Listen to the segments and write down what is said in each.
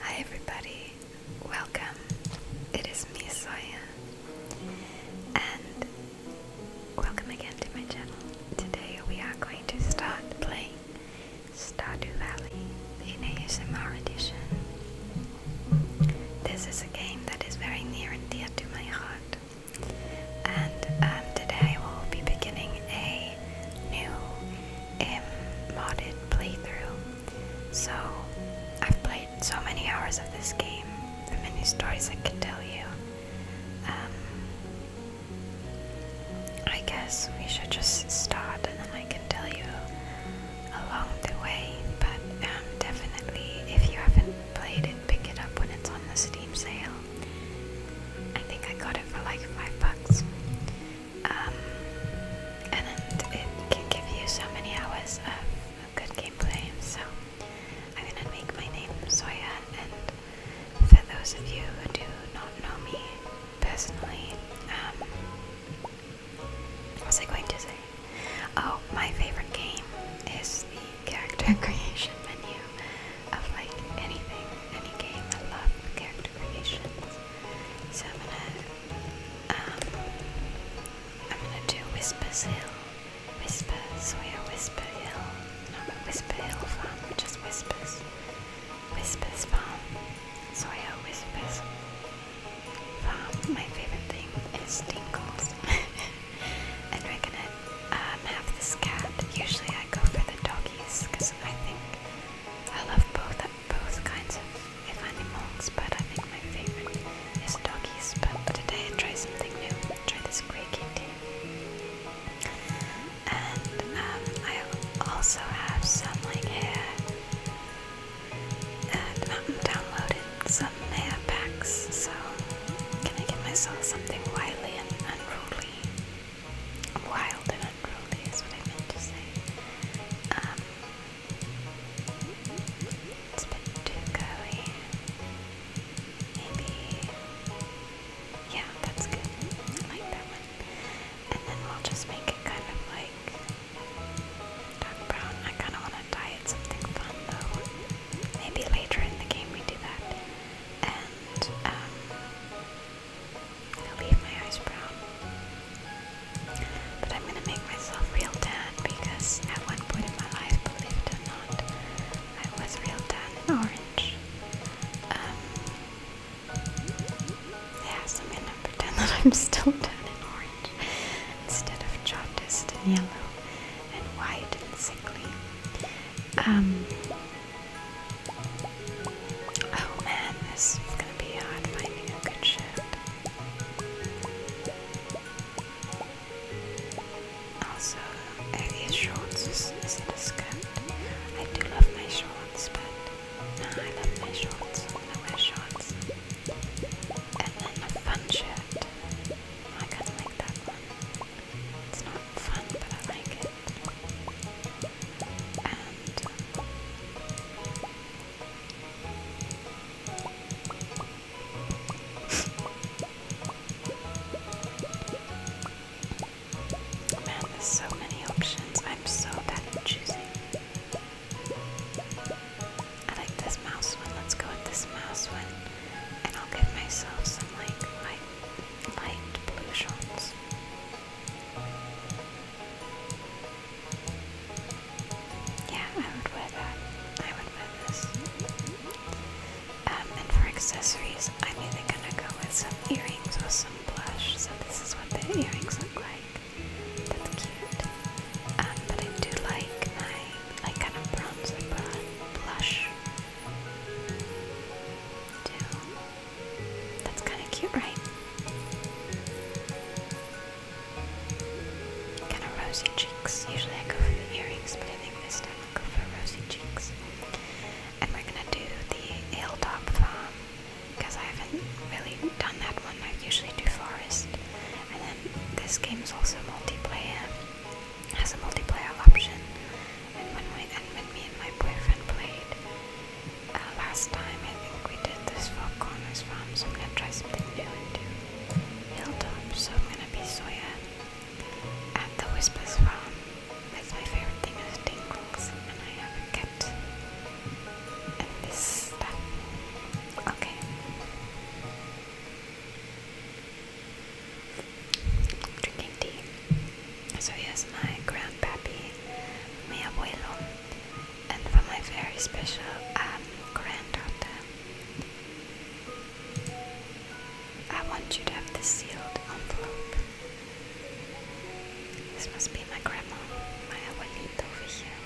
Hi everybody, welcome. It is me, Soya, and welcome again to my channel. Today we are going to start playing Stardew Valley in ASMR edition. This is a game that is very near and dear to my heart, and um, today I will be beginning a new um, modded playthrough. So I've played so many hours of this game, the many stories I can tell you. Um, I guess we should just start and then I can tell you along the way, but um, definitely if you haven't played it, pick it up when it's on the Steam sale. I think I got it for like five bucks um, and it can give you so many hours of good gameplay. So I'm gonna make my name Soya, and for those of you who do not know me personally, um, what was I going to say? Oh, my favorite game is the character creation menu of like anything, any game. I love character so I'm gonna, um, I'm gonna do Whispers Hill, Whisper, Sawyer Whisper Hill, not Whisper Hill Farm, just Whispers, Whispers Farm, Sawyer Whispers Farm. My favorite thing is tingles. and we're gonna um, have this cat. Usually I go for the doggies because I think I love both both kinds of, of animals, but I think my favorite is doggies. But today I try something new. Try this Grey Kitty, and um, I also have some like hair. And I'm downloaded some Maya packs, so can I get myself something wily and unruly? wild and unruly is what I meant to say. Um, it's a bit too curly. Maybe, yeah, that's good. I like that one. And then we'll just make kind of like dark brown. I kind of want to dye it something fun though. Maybe later in the game we do that. And, um, I'll leave my eyes brown. But I'm gonna make myself real tan because at one point in my life, believe it or not, I was real tan and orange. Um, yeah, so I'm gonna pretend that I'm still tan and orange instead of jaundiced and yellow and white and sickly. Um, Oh man, this is gonna be hard finding a good shift. Also, these shorts is, it a skirt? I do love my shorts, but no, I love my shorts. I'm going shorts. And then a fun shirt. I kinda like that one. It's not fun, but I like it. Man, there's so many options. I'm so bad at choosing. I like this mouse one. Let's go with this mouse one. And I'll give myself some like light blue shots. Yeah, I would wear that. I would wear this. Um, and for accessories, I'm either gonna go with some earrings or some blush. So this is what the earrings look like. That's cute. Um, but I do like my like kind of bronzer blush. Too. That's kind of cute, right? Kind of rosy cheeks. Usually I go for earrings, but I think this time I'll go for rosy cheeks. And we're gonna do the hilltop farm because I haven't really done that one. I usually do forest. And then this game is also multiplayer, has a multiplayer option. And when, we, and when me and my boyfriend played, uh, last time I think we did this Four Corners farm, so I'm gonna try something new and do Hilltop, so I'm gonna be Soya at the Whispers Run. That's my favorite thing is tingles, and I have a cat and this stuff. Okay. Drinking tea. So here's my grandpappy, mi abuelo, and for my very special um, granddaughter. I want you to have this sealed envelope. This must be my grandma, my abuelita over here.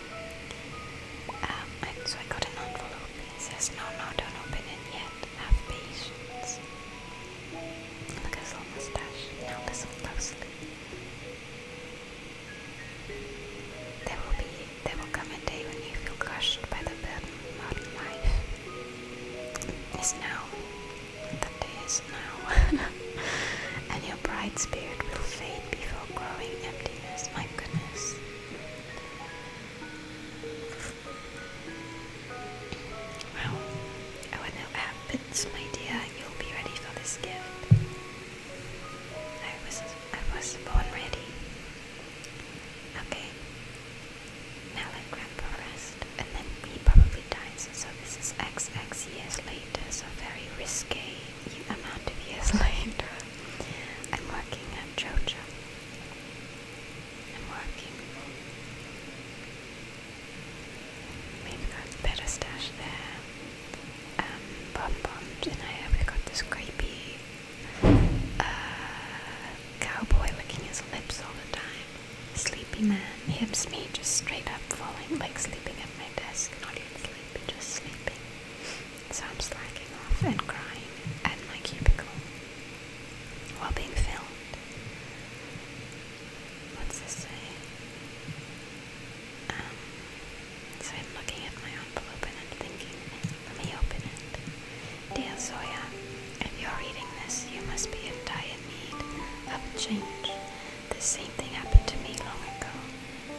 Um, so I got an envelope. It says, no, no, don't open it yet. Have patience. Look at his little mustache. Now listen closely. There will be there will come a day when you feel crushed by the burden of modern life. Is now. The day is now. and your bright spirit will fade before growing emptiness, my goodness. Well, I would not it's my dear, you'll be ready for this gift. I was I was born ready. Okay. Now let Grandpa rest, and then he probably dies. So this is XX years later, so very risky amount of years later. I'm working at Jojo. I'm working. We've got Pedestash there. Um, Bomb Bombs, and I have got this creepy uh, cowboy licking his lips all the time. Sleepy man hips me just straight up falling, like sleeping at my desk. Not even sleepy, just sleeping. So I'm slacking off and crying at my cubicle while being filmed what's this say? Um, so I'm looking at my envelope and I'm thinking, let me open it. Dear Zoya, if you're reading this, you must be in dire need of change. The same thing happened to me long ago.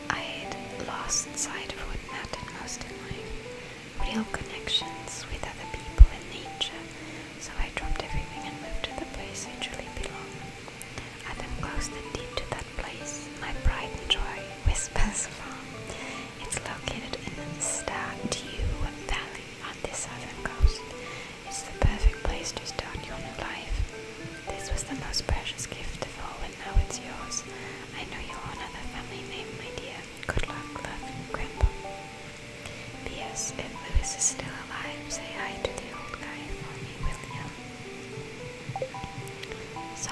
I had lost sight of what mattered most in life, real connections with other people and nature, so I dropped everything and moved to the place I truly belong. I then close deep to that place, my pride and joy whispers from. It's located in the Stardew Valley on the southern coast. It's the perfect place to start your new life. This was the most precious gift of all, and now it's yours. I know you'll honor the family name, my dear. Good luck, love, and Grandpa. P.S. If Louis is still alive, say hi to the old guy for me, will you? So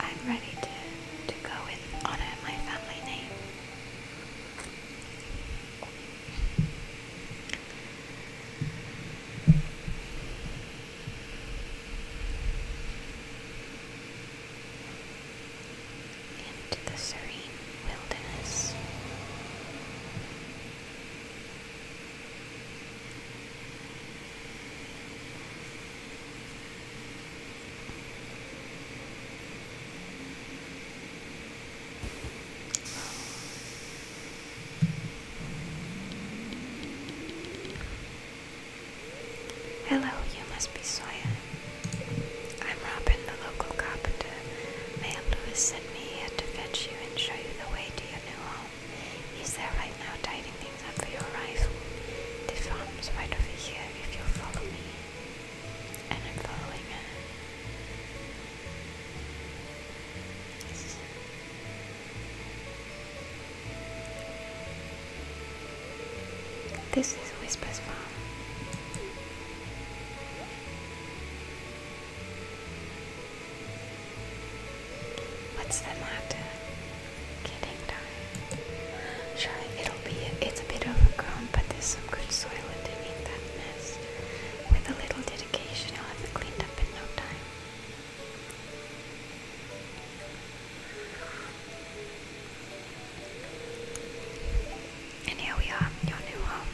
I'm ready to, to go and honor my family name. Into the serene wilderness. Hello, you must be Soya. I'm Robin, the local carpenter. Mayor Lewis sent me here to fetch you and show you the way to your new home. He's there right now tidying things up for your arrival. The farm's right over here if you'll follow me. And I'm following This is Whisper's farm. What's the matter? Kidding time. Sure, it'll be. it's a bit overgrown, but there's some good soil underneath that nest. With a little dedication, I'll have it cleaned up in no time. And here we are, your new home.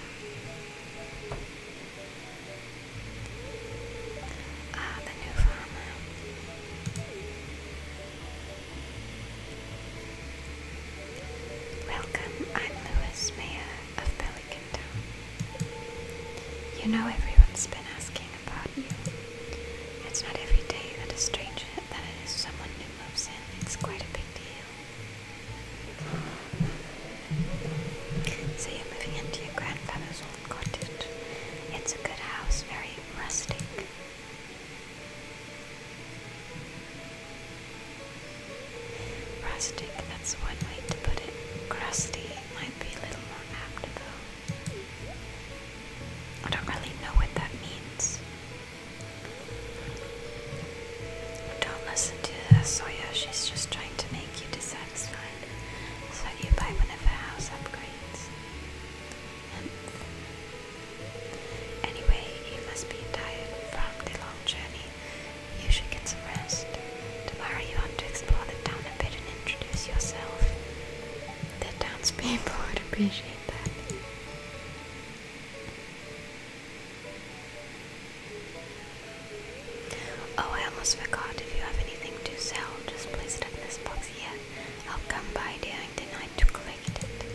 Ah, the new farmer. Welcome, I'm Lewis, Mayor of Pelican You know everyone's been asking about you. It's not every day that a stranger that it is someone new moves in. It's quite a big deal. So you're moving into your grandfather's old cottage. It's a good house, very rustic. Rustic, that's one way to put it. Crusty might be a little more apt though. I don't really know what that means. Don't listen to Sawyer. She's just trying to make you decide outside so you buy one of house upgrades. Anyway, you must be tired from the long journey. You should get some rest. Tomorrow you want to explore the town a bit and introduce yourself. The townspeople would appreciate that. Oh, I almost forgot. If you have anything to sell, just place it in this box here. I'll come by during the night to collect it.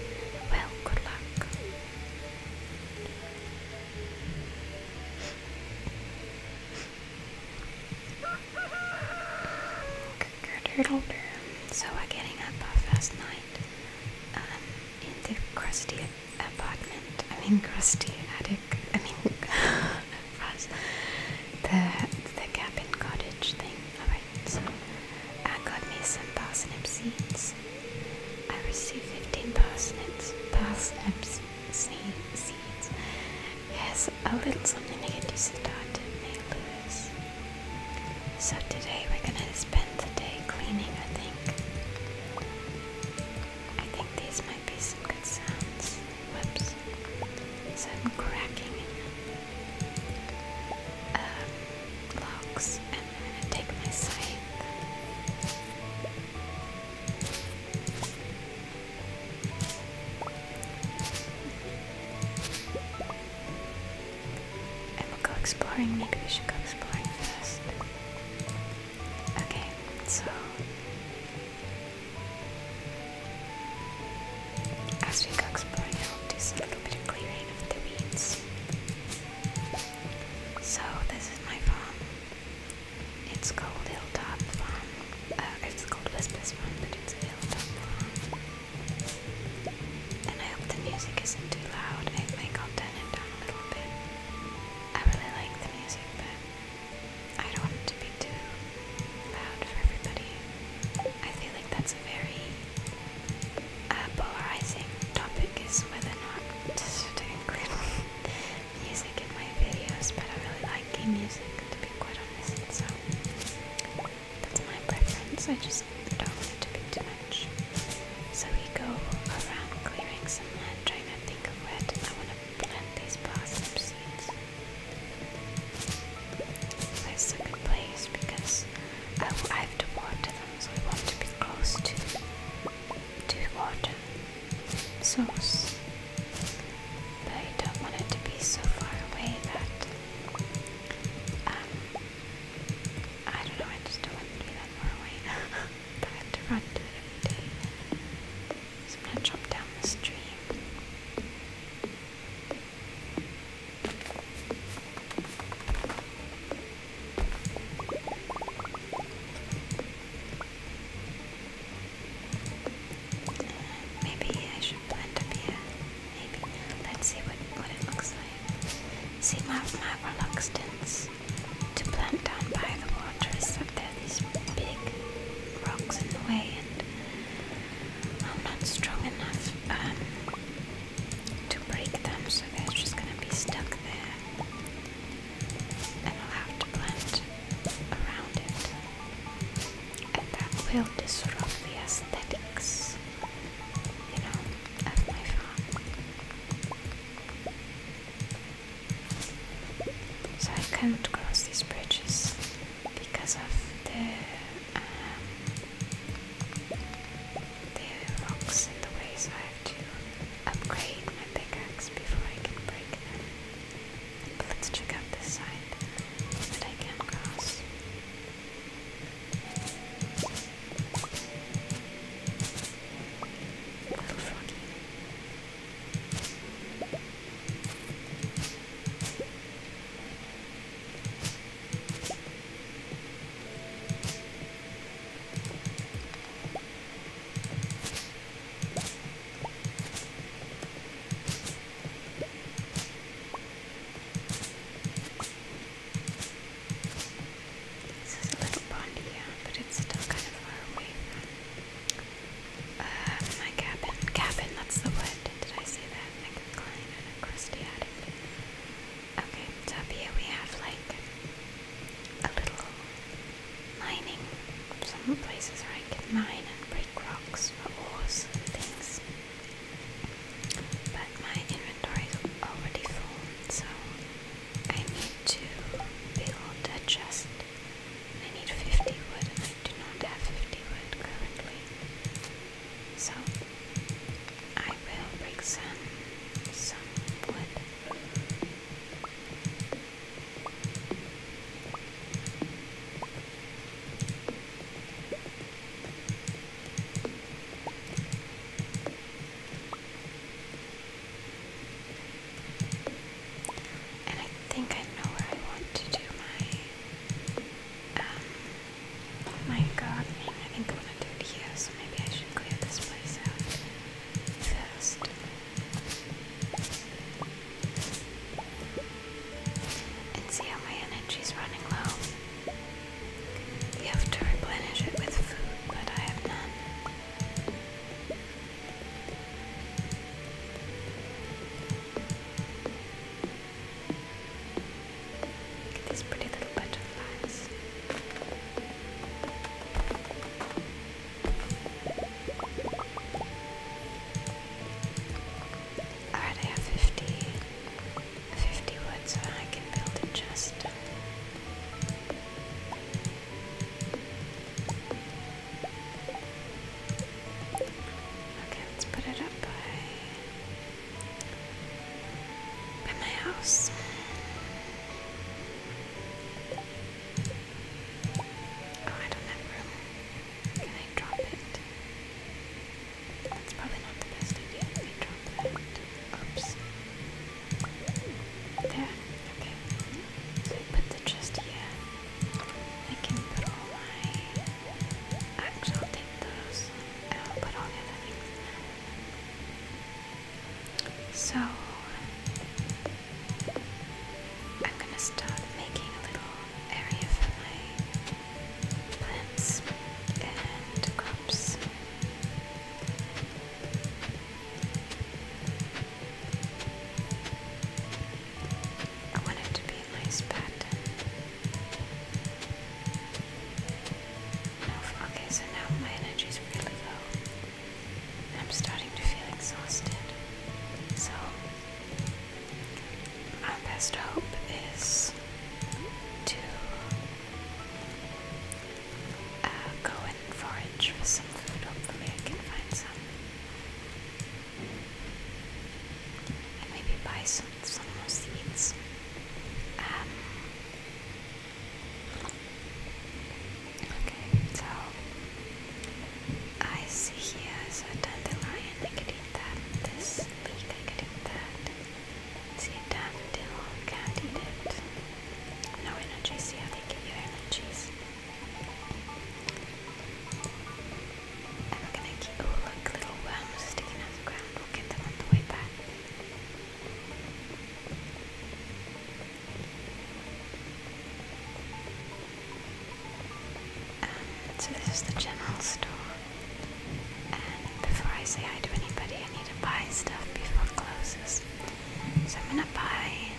Well, good luck. So we're getting up our first night um, in the crusty apartment, I mean crusty attic, I mean us, the, the cabin cottage thing. Alright, so I got me some parsnip seeds. I received 15 parsnips, parsnips seeds. Yes, a little something to get you started, May Lewis. So today we're gonna spend the day cleaning, I think. I think these might be some good sounds. Whoops. Some cracking um, logs, and i take my scythe. And we'll go exploring. Maybe we should go exploring first. Okay, so as we cook brine little bit of clearing of the weeds. So this is my farm. It's called Hilltop Farm. Uh, it's called Whispers Farm, but it's a Hilltop Farm. And I hope the music isn't too loud. I think i turn it down a little bit. I really like the music, but I don't want it to be too loud for everybody. I feel like that's a very uh, polarizing topic is whether or not to include music in my videos, but I really like game music to be quite honest, so that's my preference. I just don't want it to be too much. So we go around clearing some land, trying to think of where to, I want to and these place because I, I have to water them, so I want to be close to to water So, But I don't want it to be so far away that um, I don't know, I just don't want to be that far away. So I'm going to jump down the stream. Maybe I should plant up here. Maybe. Let's see what, what it looks like. See, my, my reluctance to plant down by the water is there these big rocks in the way, and I'm not strong enough um, to break them, so they're just gonna be stuck there, and I'll have to plant around it, and that will disrupt the aesthetics, you know, of my farm. So I can't cross these bridges because of the um, the rocks in the way. So I have to upgrade my pickaxe before I can break them. let's check out this side that I can cross. Little froggy. This is a little pond but it's still kind of far away uh, my cabin. Cabin, that's the word. Did I say that? Like a climb and a crusty Okay, up here we have like a little mining. Some places where I can mine and break rocks for ores and things. But my inventory is already full, so I need to build a chest I need 50 wood and I do not have 50 wood currently. So I will break some some wood. And I think I know where I want to do my, um, oh my god, I think I want to do it here, so maybe I should clear this place out first. And see how my energy's running low. You have to replenish it with food, but I have none. Look at these pretty little butterflies. Alright, I have 50, wood, so I can build a chest. Okay, let's put it up by, by my house. Oh, I don't room. Can I drop it? That's probably not the best idea. drop that. Oops. There. Okay. So I put the chest I can put all my actual tintos. And I'll put all the other things. So I'm gonna start making a little area for my plants and crops. I want it to be a nice pattern. okay, so now my energy really low. I'm starting to feel exhausted. So, our best hope is to uh, go and forage for some food. Hopefully, I can find some and maybe buy some some more seeds. Um, okay, so I see here is a dandelion. I could eat that. This leek, I could eat that. See a can't eat it. No energies. Yeah, they give you energies we're gonna keep, oh look, little worms sticking out the ground. We'll get them on the way back. Um, so this is the general store. And before I say hi to anybody, I need to buy stuff before it closes. So I'm gonna buy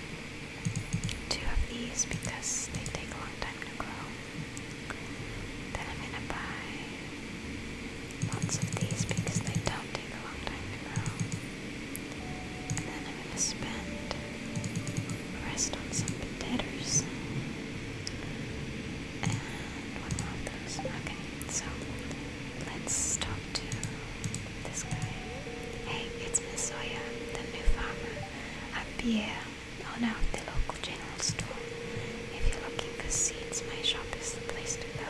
two of these because they take a long time to grow. Then I'm gonna buy lots of these because they don't take a long time to grow. And then I'm gonna spend rest on some potatoes. And one of those. Okay, so let's talk to this guy. Hey, it's Miss the new farmer appear on out the local general store. If you're looking for seeds, my shop is the place to go.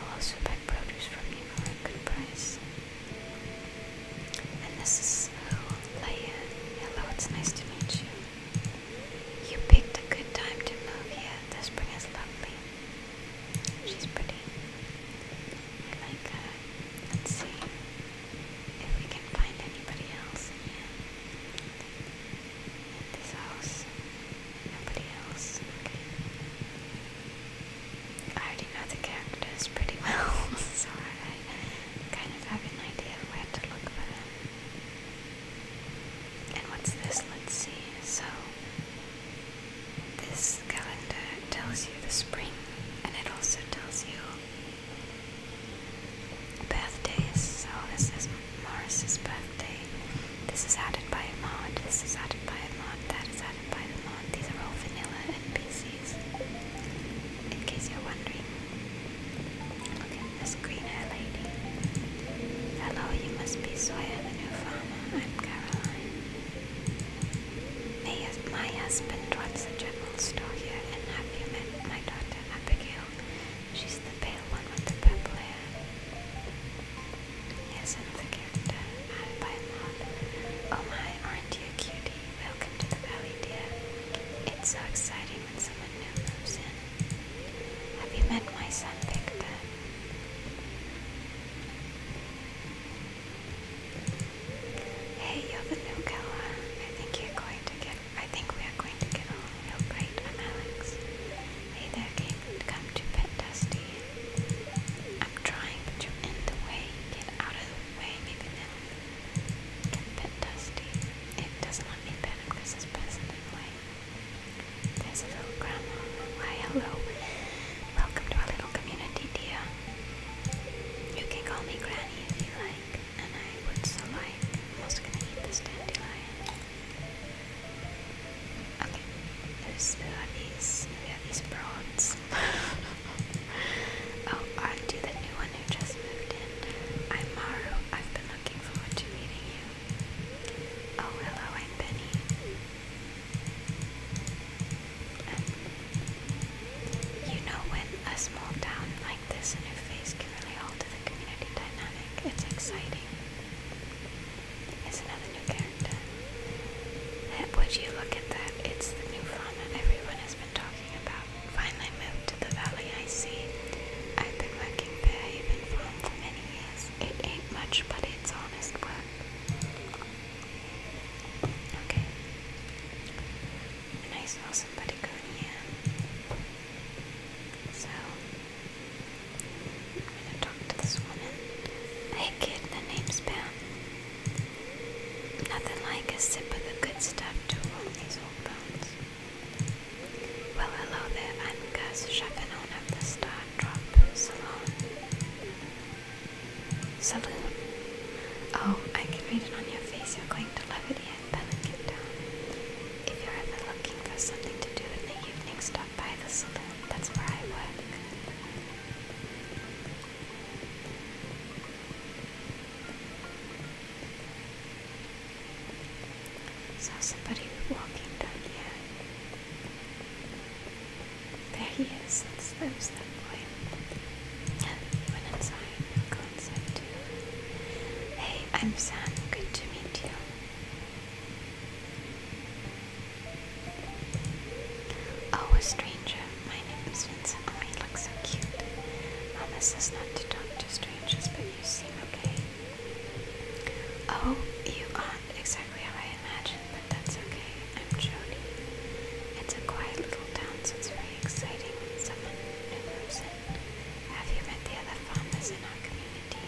I'll also buy produce from you for a good price. And this is Leia. Oh, uh, hello, it's nice to meet you. You picked a good time to move here. The spring is lovely. She's pretty. I like her. Let's see if we can find anybody else in, this house. Nobody else. Okay. I already know the characters pretty well, so I kind of have an idea where to look for them. And what's this? Let's see. So, this calendar tells you the spring, and it also tells you birthdays. So this is Morris's birthday. This is added by a mod. This is added by a mod. That is added by the mod. These are all vanilla NPCs. In case you're wondering. Look at this green haired lady. Hello, you must be Sawyer the new farmer. I'm Caroline my husband runs a general store here, and have you met my daughter Abigail? She's the pale one with the purple hair. Here's another character, added by a Oh my, aren't you a cutie? Welcome to the valley, dear. It's so exciting when someone new moves in. Have you met my son, Victor? Hey, you're the new girl. I think you're going to get. I think we are going to get along real great. Alex. Hey there, Kate. Come to pet Dusty. I'm trying, but you're in the way. Get out of the way, maybe now. Can pet Dusty. It doesn't let me pet him because his in the way. There's a little grandma. Why, hello. Welcome to our little community, dear. You can call me Granny if you like, and I would so like. I'm also gonna eat this dandelion. Okay, there's we have these we have these prawns. oh, i do the new one who just moved in. I'm Maru. I've been looking forward to meeting you. Oh hello, I'm Penny you know, when a small town like this, a new face can really alter the community dynamic. It's exciting. It's another new character. Would you look at that? It's the new fauna everyone has been talking about. Finally moved to the valley, I see. I've been working Bearhaven Farm for many years. It ain't much, but it's honest work. Okay and I saw somebody going in. So I'm gonna talk to this woman. Hey kid, the name's Pam. Nothing like a sip of the good stuff to roll these old bones. Well, hello there, I'm of the Star Drop Salon. Saloon. Oh, I can read it on your face. You're going to levity and then get down. If you're ever looking for something to do in the evening, stop by the saloon. That's where I work. Saw somebody walking down here. There he is. That's, that was Hey, I'm Sam. Good to meet you. Oh, stranger. My name is Vincent. Oh, look so cute. Promise us not to talk to strangers, but you seem okay. Oh, you aren't exactly how I imagined, but that's okay. I'm Jody. It's a quiet little town, so exciting when someone new moves in. Have you met the other farmers in our community?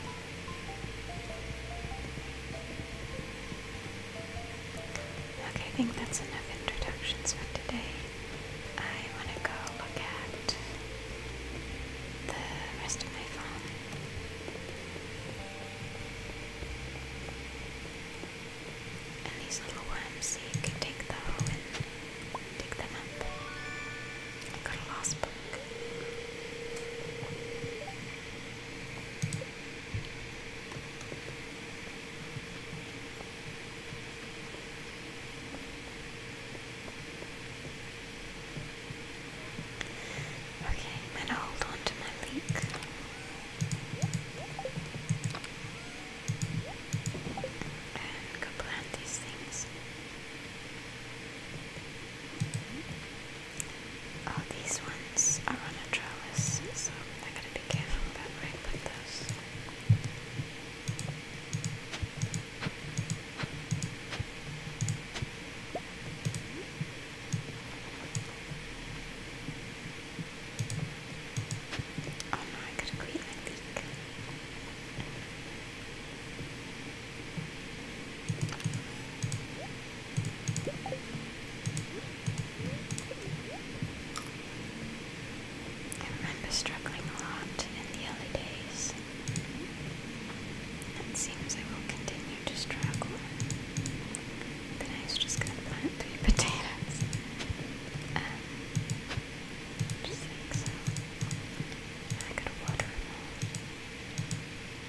Okay, I think that's enough introductions for today. I want to go look at the rest of my farm. And these little worms, so you can take them and take them up. got a lost book. Okay, I'm gonna hold on to my leak and go plant these things. All oh, these ones are on a trellis, so I gotta be careful about where I put those. I got remember struggling a lot in the early days. It seems I will continue to struggle. But I was just gonna plant three potatoes. Um, just like I gotta water Oh no,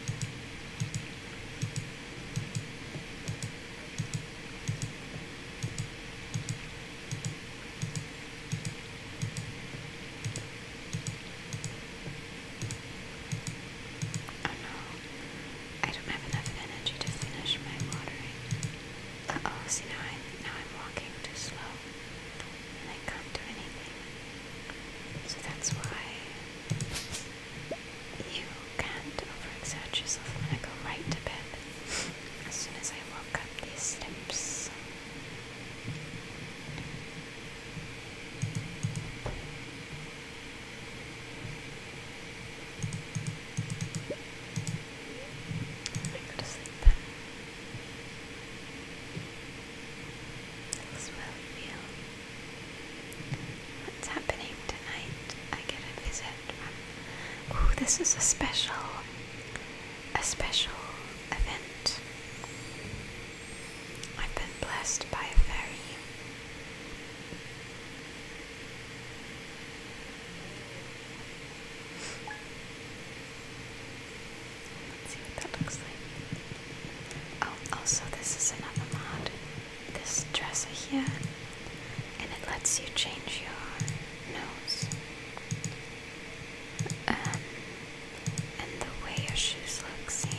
I don't have enough energy to finish my watering oh, see now I'm, now I'm walking too slow I can't do anything. So that's why you can't overexert yourself. I'm gonna go right to bed as soon as I walk up these steps. I'm going to sleep then. All's well, Neil. What's happening tonight? I get a visit from. Oh, this is a special, a special event. I've been blessed by a fairy. Let's see what that looks like. Oh, also this is another mod. This dresser here, and it lets you change your nose. Um, and the way your shoes look, see?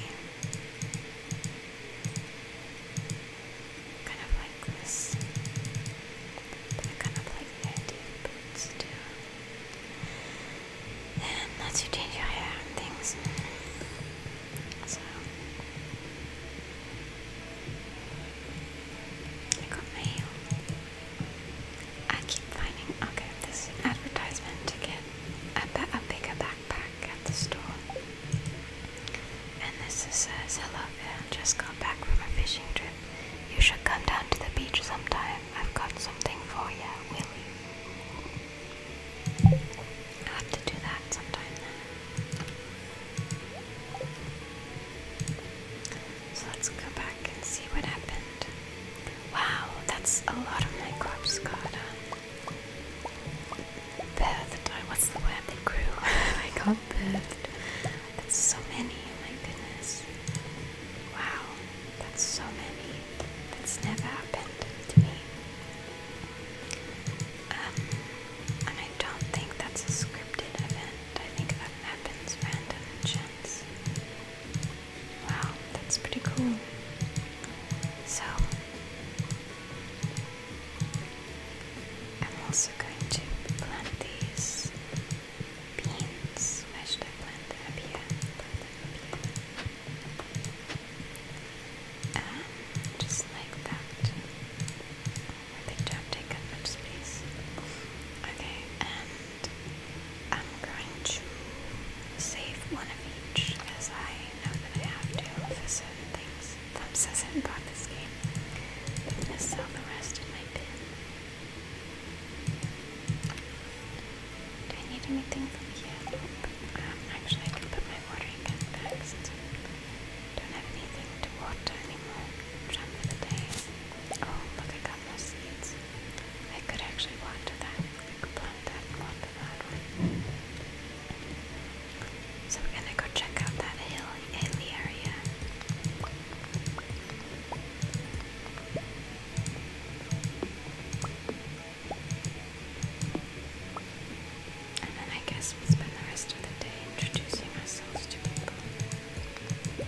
kind of like this. I kind of like the idea of And not to change your and things. So I got my I keep finding okay, this advertisement to get a, a bigger backpack at the store. And this says hello there, just got back from a fishing trip. You should come down to the beach sometime. I've got something for you, Willie. will have to do that sometime then. So let's go back and see what happened. Wow, that's a lot of microbes got birthed. What's the word that grew? I got birthed that's so many, my goodness. Wow, that's so many. That's never happened to me. Um, and I don't think that's a scripted event. I think that happens random chance. Wow, that's pretty cool. So, I'm also going to plant these beans. Where should I plant them? Up Plant them up just like that. Oh, I don't take up much space. Okay, and I'm going to save one of each as I know that I have to for certain things. Thumbs hasn't bought this game. I'm gonna sell the rest in my do I need anything from um, actually, I can put my watering can back since I don't have anything to water anymore. Jump day. Oh, look, I got more seeds. I could actually water that. could plant that and that one. So we're gonna go check out that hill, hilly area. And then I guess we spend the rest of the day introducing ourselves to people. Oh,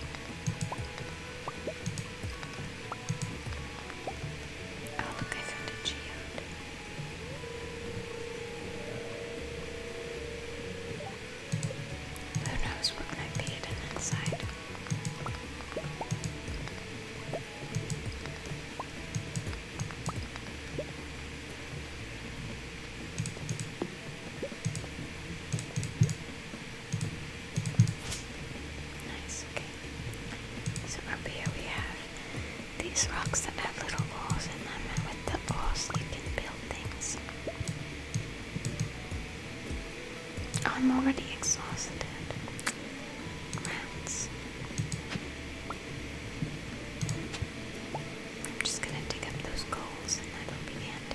look, I found a geode. Who knows what might be inside? Nice, okay. So up here we have these rocks that have little holes in them, and with the holes you can build things. I'm already exhausted. I'm just gonna dig up those coals and that'll be the end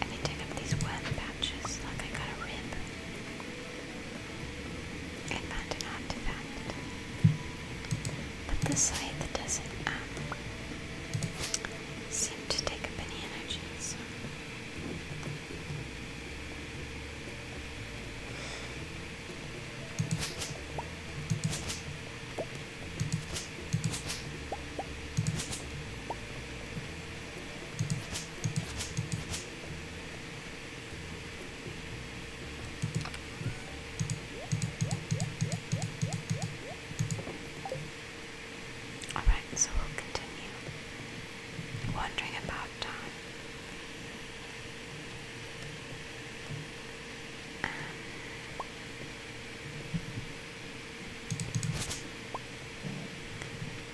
And then dig up these worm patches like I got a rib. And found an artifact. But the scythe doesn't seem to take up any energy, Alright, so we'll continue wondering about um,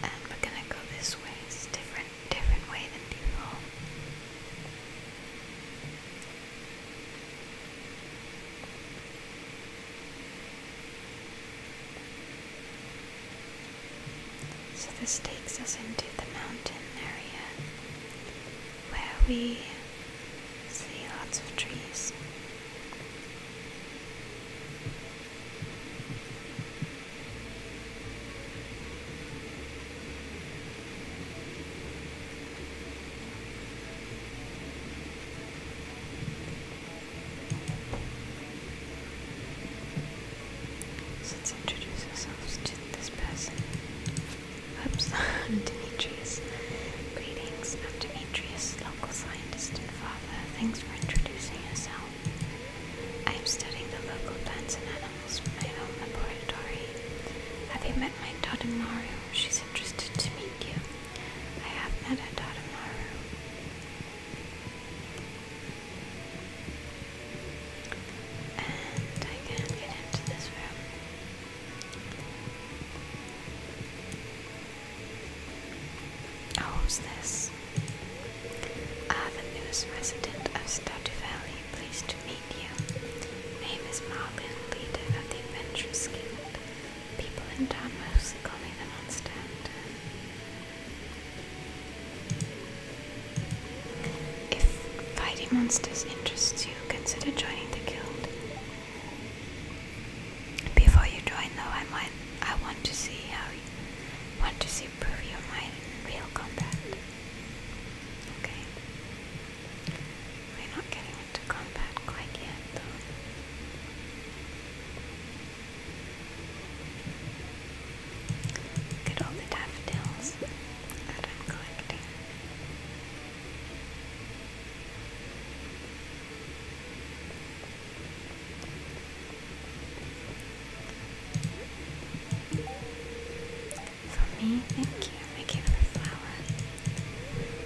and we're gonna go this way. different different way than before. So, this takes us into the mountain area where we see lots of trees let's introduce ourselves to this person. Oops, Demetrius. Greetings, i Demetrius, local scientist and father. Thanks for introducing yourself. I am studying the local plants and animals from my own laboratory. Have you met my daughter Mario? She's interested to meet you. I have met a Tadamaru. And I can't get into this room. Oh, who's ah, the newest resident of Statue Valley. Pleased to meet you. Name is Marlin, leader of the Adventurous Guild. People in town mostly call me the monster hunter. If fighting monsters interests you, consider joining the guild. Before you join, though, I might I want to see how you want to see prove your mind in real combat. Okay. We're not getting into combat quite yet, though. Look at all the daffodils that I'm collecting. For me, thank you. Thank you for the flower.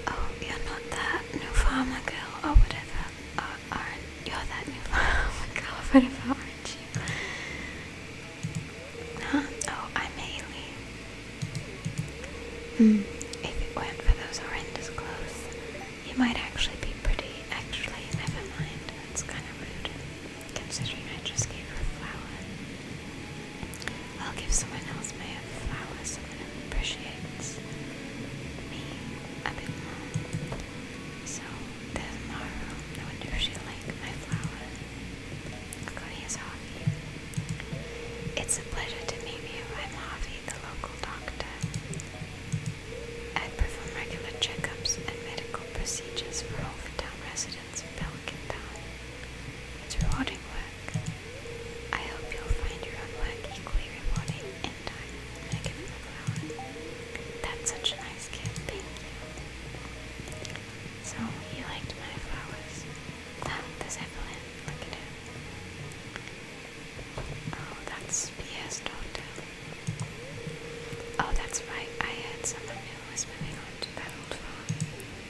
Oh, you're not that new farmer girl or whatever. Oh, aren't you're that new farmer girl or whatever, are Huh? Oh, I'm Haley. Hmm. If it weren't for those horrendous clothes, you might actually be pretty. Actually, never mind. It's kind of rude, considering I just gave her a flower. I'll give someone else my flowers, someone who appreciates me a bit more. So there's Maru. I wonder if she likes my flowers. God, he It's a pleasure to meet you. I'm Harvey, the local doctor. I perform regular checkups and medical procedures for all the town residents of Pelican Town. It's rewarding work. I hope you'll find your unwag equally rewarding in time That's such a nice gift, thank you. So, you liked my flowers. Ah, this Evelyn, Oh, that's BS Doctor. Oh, that's right, I had someone who was moving on to that old farm.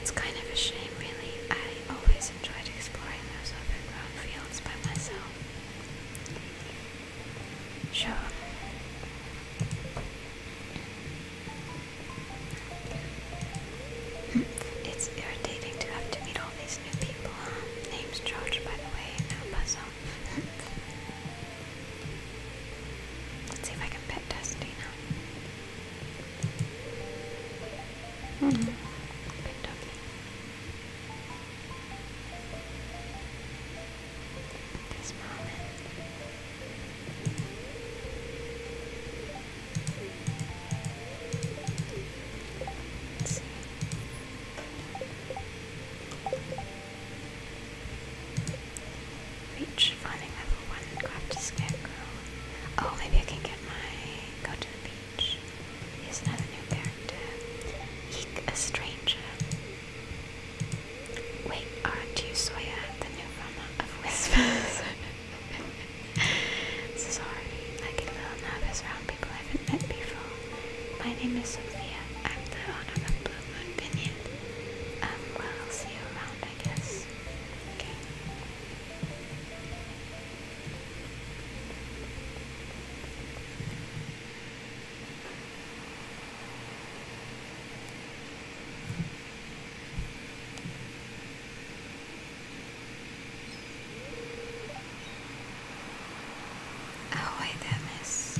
It's kind of a shame, really. I always enjoyed exploring those overgrown fields by myself. Sure. It's irritating to have to meet all these new people. Name's George, by the way, no puzzle. Let's see if I can pet Dusty Mm -hmm. Picked up. Reach finding level one, grab scarecrow. Oh, maybe I can get my go to the beach. He's another new character. Eek, a stranger. Wait, aren't you Sawyer, the new farmer of Whispers? Sorry, I get a little nervous around people I haven't met before. My name is Sophia. I'm the owner of Blue Moon Vineyard. Um, well, I'll see you around, I guess. Okay. Oh, Ahoy there, miss.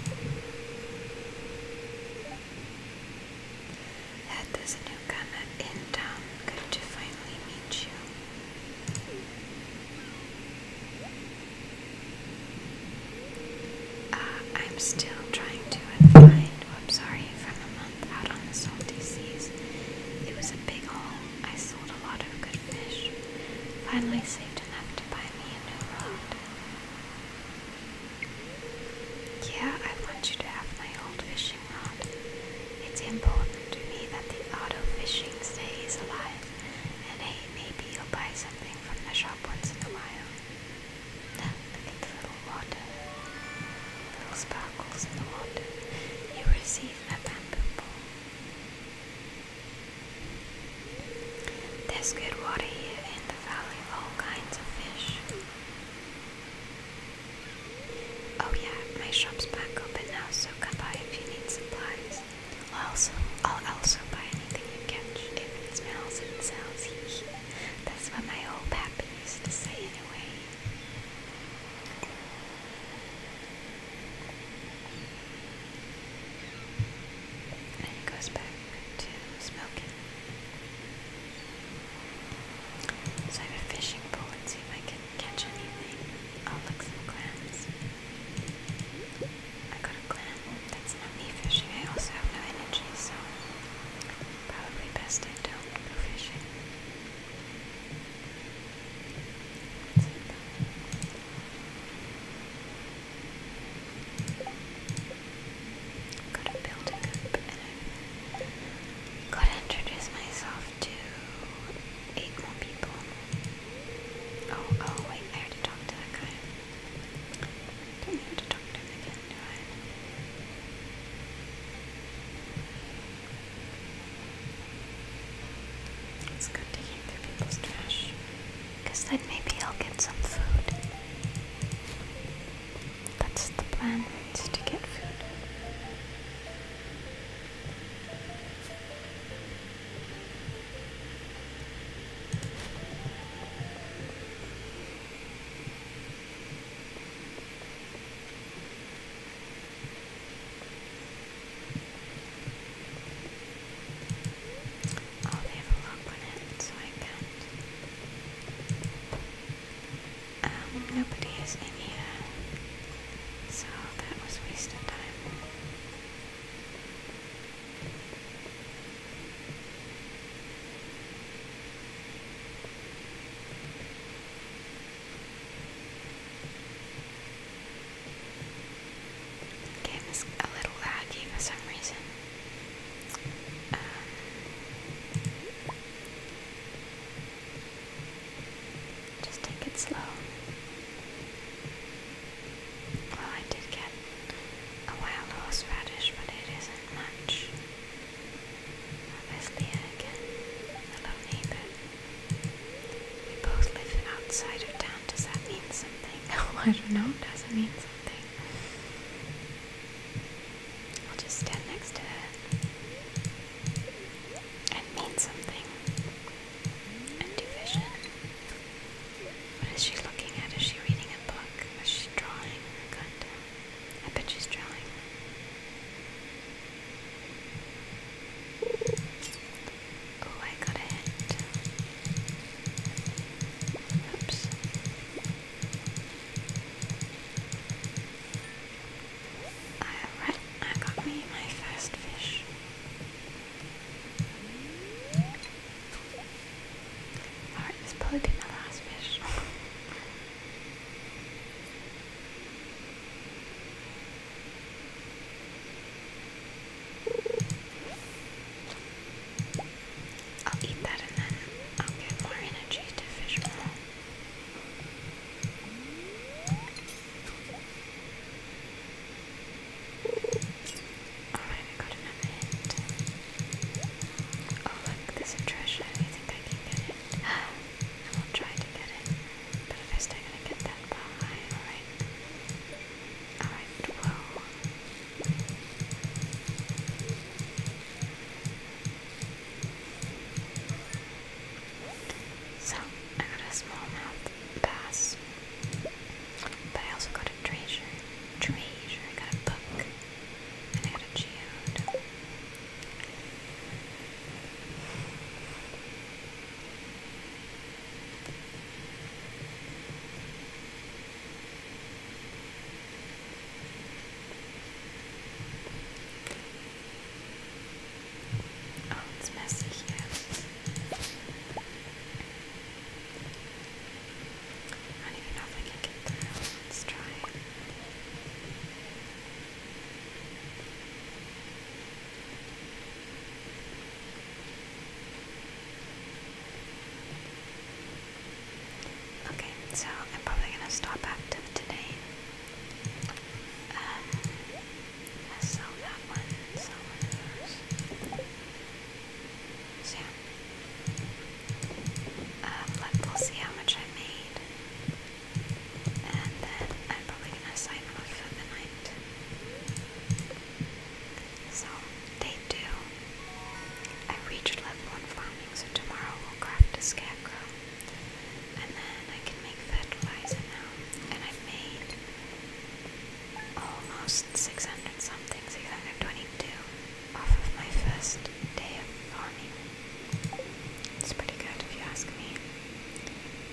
Had this newcomer in town. Good to finally meet you. Uh, I'm still trying to unwind. I'm sorry, from a month out on the salty seas. It was a big haul. I sold a lot of good fish. Finally saved enough to buy me a new rod. Yeah, I want you to have my old fishing it's important to me that the auto fishing stays alive, and hey, maybe you'll buy something from the shop once in a while. Look at the little water, little sparkles in the water. You receive a bamboo ball. There's good water here in the valley, all kinds of fish. Oh yeah, my shop's back open now, so come by if you need supplies. I'll also, I'll also buy anything you catch, if it smells and sounds. That's what my old pappy used to say anyway. And he goes back to smoking. So I have a fishing pole and see if I can catch anything. I'll oh, look some clams. I got a clam. That's not me fishing. I also have no energy, so probably best I don't go fishing. Got a building up and Gotta introduce myself to eight more people. Oh, oh, wait, I already talked to that guy. Don't need to talk to him again, do I? to keep through people's trash. Because then maybe I'll get some food. That's the plan, is to get food. Oh, they have a lock on it, so I can't. Um, nobody is in here. So that was a time. game is a little laggy for some reason. Um, just take it slow. Well, I did get a wild horseradish, but it isn't much. There's Leah again. Hello, neighbor. We both live outside of town. Does that mean something? Oh, I don't know. Does it mean something? I'll just stand next to her and mean something. And do vision. What is she looking at? Is she reading a book? Is she drawing? God damn. I bet she's drawing. Oh, I got a Oops. Alright, I got me my first fish. Alright, this probably be my last fish. I'll eat that and then I'll get more energy to fish more. Alright, I got another hint. Oh look, there's a treasure. You think I can get it? I will try to get it. But first I gotta get that alright? Alright, whoa. So I got a smallmouth bass, but I also got a treasure. Treasure. I got a book, I got a geode. Oh, it's messy here. I don't even know if I can get through. Let's try. Okay, so I'm probably going to stop active today. Um, I sell that one and sell one of Um, like we see how much I made. And then I'm probably gonna sign off for the night. So day two. I reached level farming, so tomorrow we'll craft a scarecrow. And then I can make fertilizer now. And i made almost 600 something, 622 off of my first day of farming. It's pretty good if you ask me.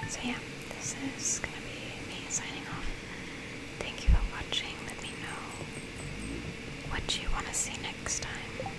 So yeah, this is gonna be me signing off. Thank you for watching. Let me know what you want to see next time.